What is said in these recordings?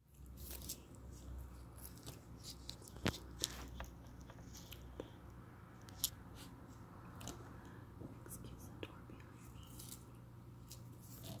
Excuse the door behind me. Over here.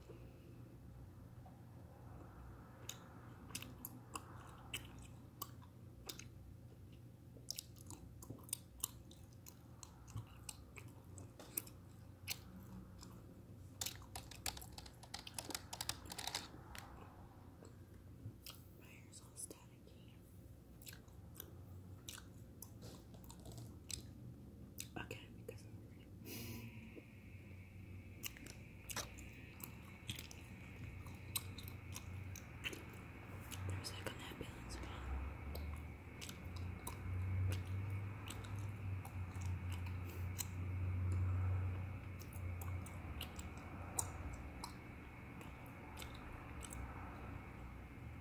My hair's all staticky. Okay, because there's like a that balance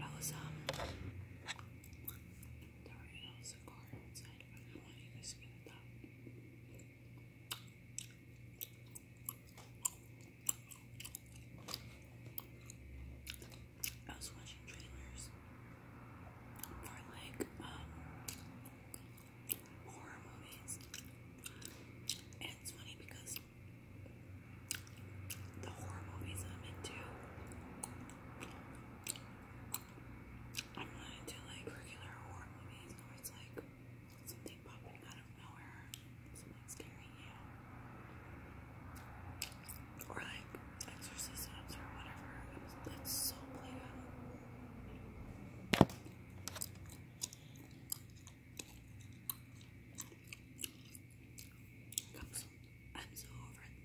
I was, um, sorry, that was a car outside, I want you to get it up. I was watching trailers for like um, horror movies. And it's funny because the horror movies I'm into I'm into like regular horror movies where it's like something popping out of nowhere something scary, Or like exorcisms or whatever. I'm so, over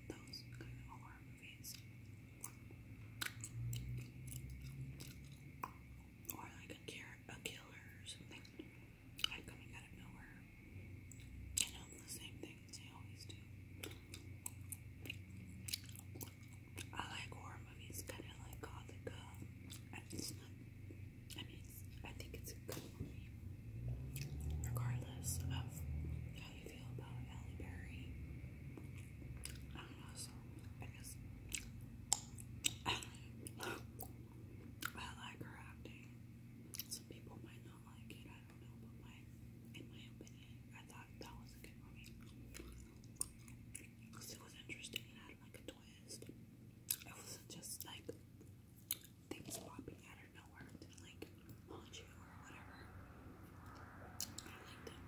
those kind of horror movies. Or like a killer or something like coming out of nowhere. You know, the same things they always do. I like horror movies, kind of like Gothic. Uh, it's not, I mean, I think it's a good movie. Regardless of how you feel about Halle Berry. I don't know, so I guess. I like her acting. Some people might not. I don't know, but in my opinion, I thought that was a good movie because it was interesting and had like a twist. It wasn't just like things popping out of nowhere to like haunt you or whatever. I liked it.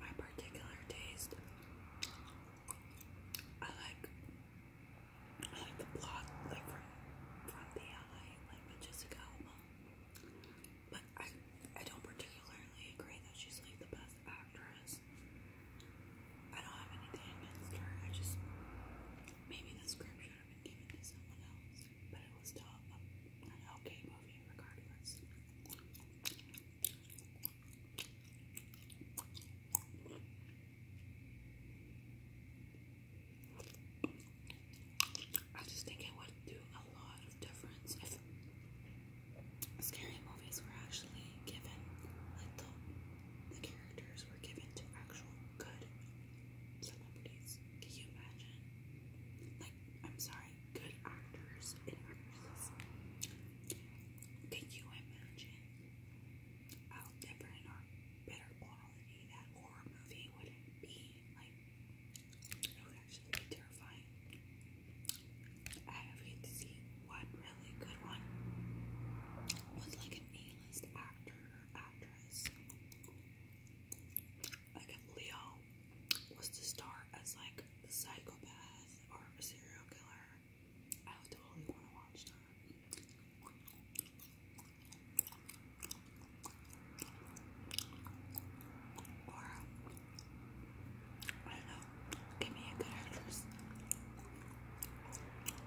My particular taste, I like, I like the plot, like from the LA, like Jessica But I, I don't particularly agree that she's like the best actress. I don't have any diamonds here. I just maybe the script should have been given to someone else, but it was still an okay movie regardless. I just think it would do a lot of difference if scary movies were actually given like the the characters given to actual good celebrities. Can you imagine? Like, I'm sorry, good actors and actresses. Can you imagine how different or better quality that horror movie would be? Like, it would actually be terrifying. I have to see one really good one was like an A-list actor or actress. Like if Leo was to star as like the psychopath or a serial killer, I totally want to watch that. Or I don't know, give me a good actress.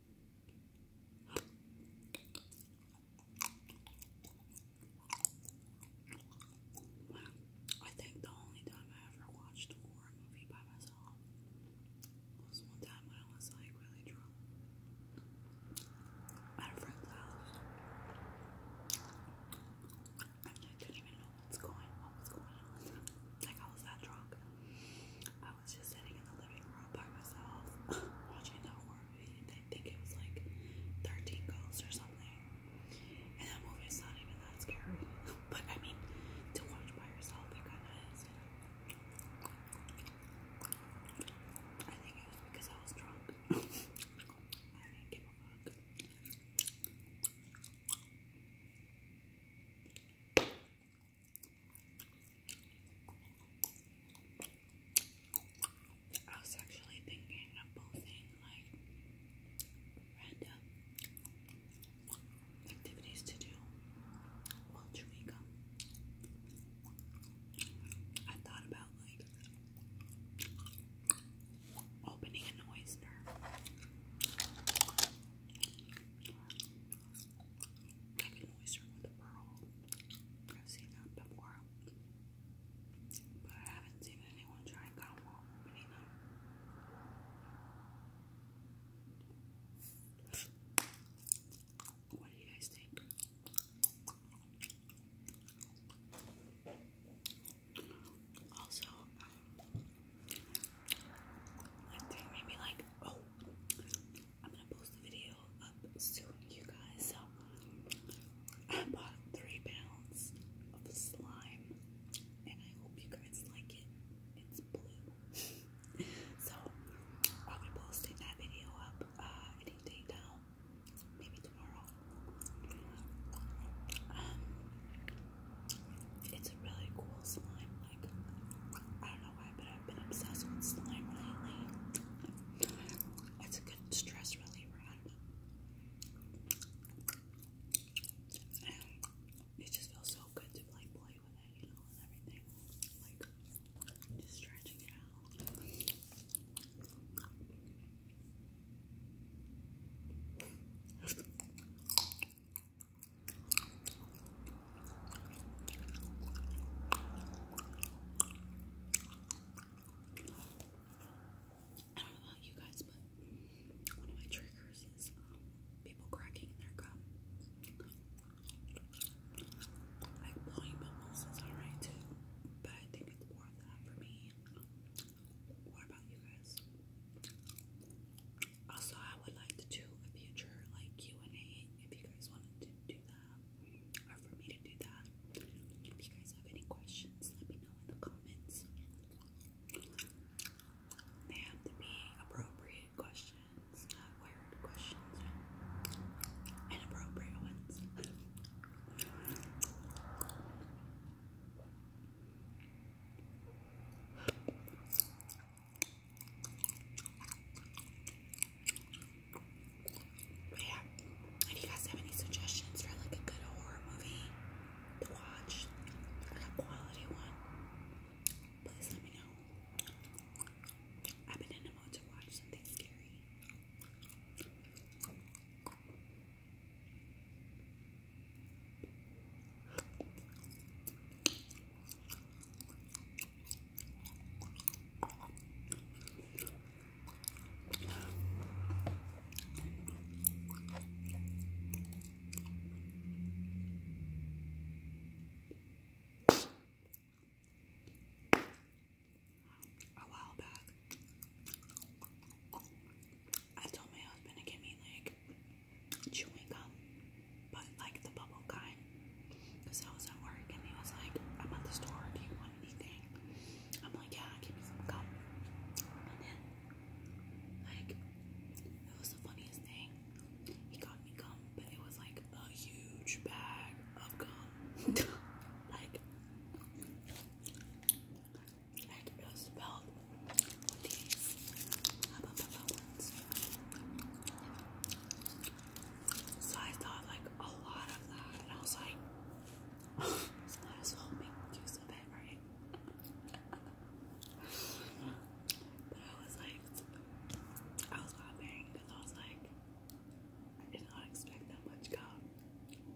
I think the only time I ever watched a horror movie by myself was one time when I was like really drunk at a friend's house. I didn't even know what's going, what was going on. Like I was that drunk. I was just sitting in the living room by myself watching that horror movie. I think it was like 13 Ghosts or something. And that movie's not even that scary. but I mean, to watch by yourself, it kind of I think it was because I was drunk. I didn't give a fuck. I was actually thinking of posting like random activities to do while chewing gum. I thought about like opening an oyster. Like an oyster with a pearl. I've seen that before. But I haven't seen anyone try and cut What do you guys think? Also, maybe like, oh, I'm gonna post the video up soon, you guys. So I bought three pounds of slime, and I hope you guys like it. It's blue, so I'll be posting that video up uh, any day now, maybe tomorrow. Um, it's a really cool slime. Like know why, but I've been obsessed with slime lately. It's a good stress reliever. it just feels so good to like play with it, you know, and everything. Like just stretching it out. I don't know about you guys, but one of my triggers is people cracking their gum. Like blowing bubbles is alright too, but I think it's more than for me. What about you guys? Also, I would like to do a future like Q and A if you guys wanted to do that or for me to do that. If you guys have any questions, let me know in the comments. They have to be appropriate questions, not weird questions, inappropriate ones yeah, if you guys have any suggestions for like a good horror movie to watch, like a quality one, please let me know. I've been in the mood to watch something scary. A while back, I told my husband to get me like chewing gum but like the bubble kind. Because I was at work and he was like, I'm at the store, do you want anything? I'm like, yeah, give me some gum. And then, like, it was the funniest thing. He got me gum, but it was like a huge bag of gum. like, like, it was so I thought like a lot of that, and I was like, so might make use of it, right? but I was like, I was laughing because I was like, I did not expect that much gum.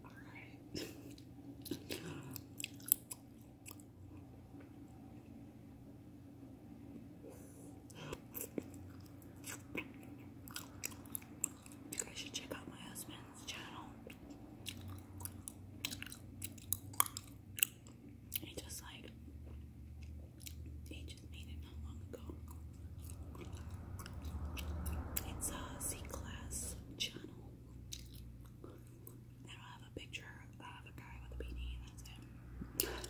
Alright. You guys should check out my husband's channel. He just like he just made it not long ago. It's a C class channel. I have a picture of a guy with a beanie, that's it.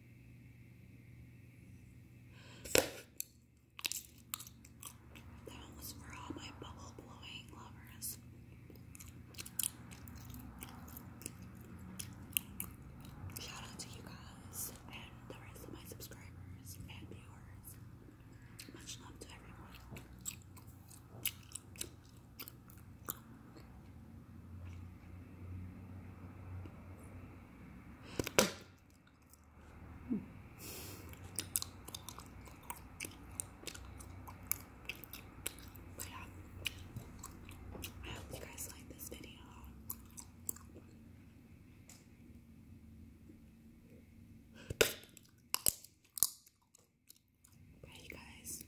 That was for all my bubble blowing lovers. Shout out to you guys and the rest of my subscribers and viewers. Much love to everyone yeah, I hope you guys like this video. Bye, you guys.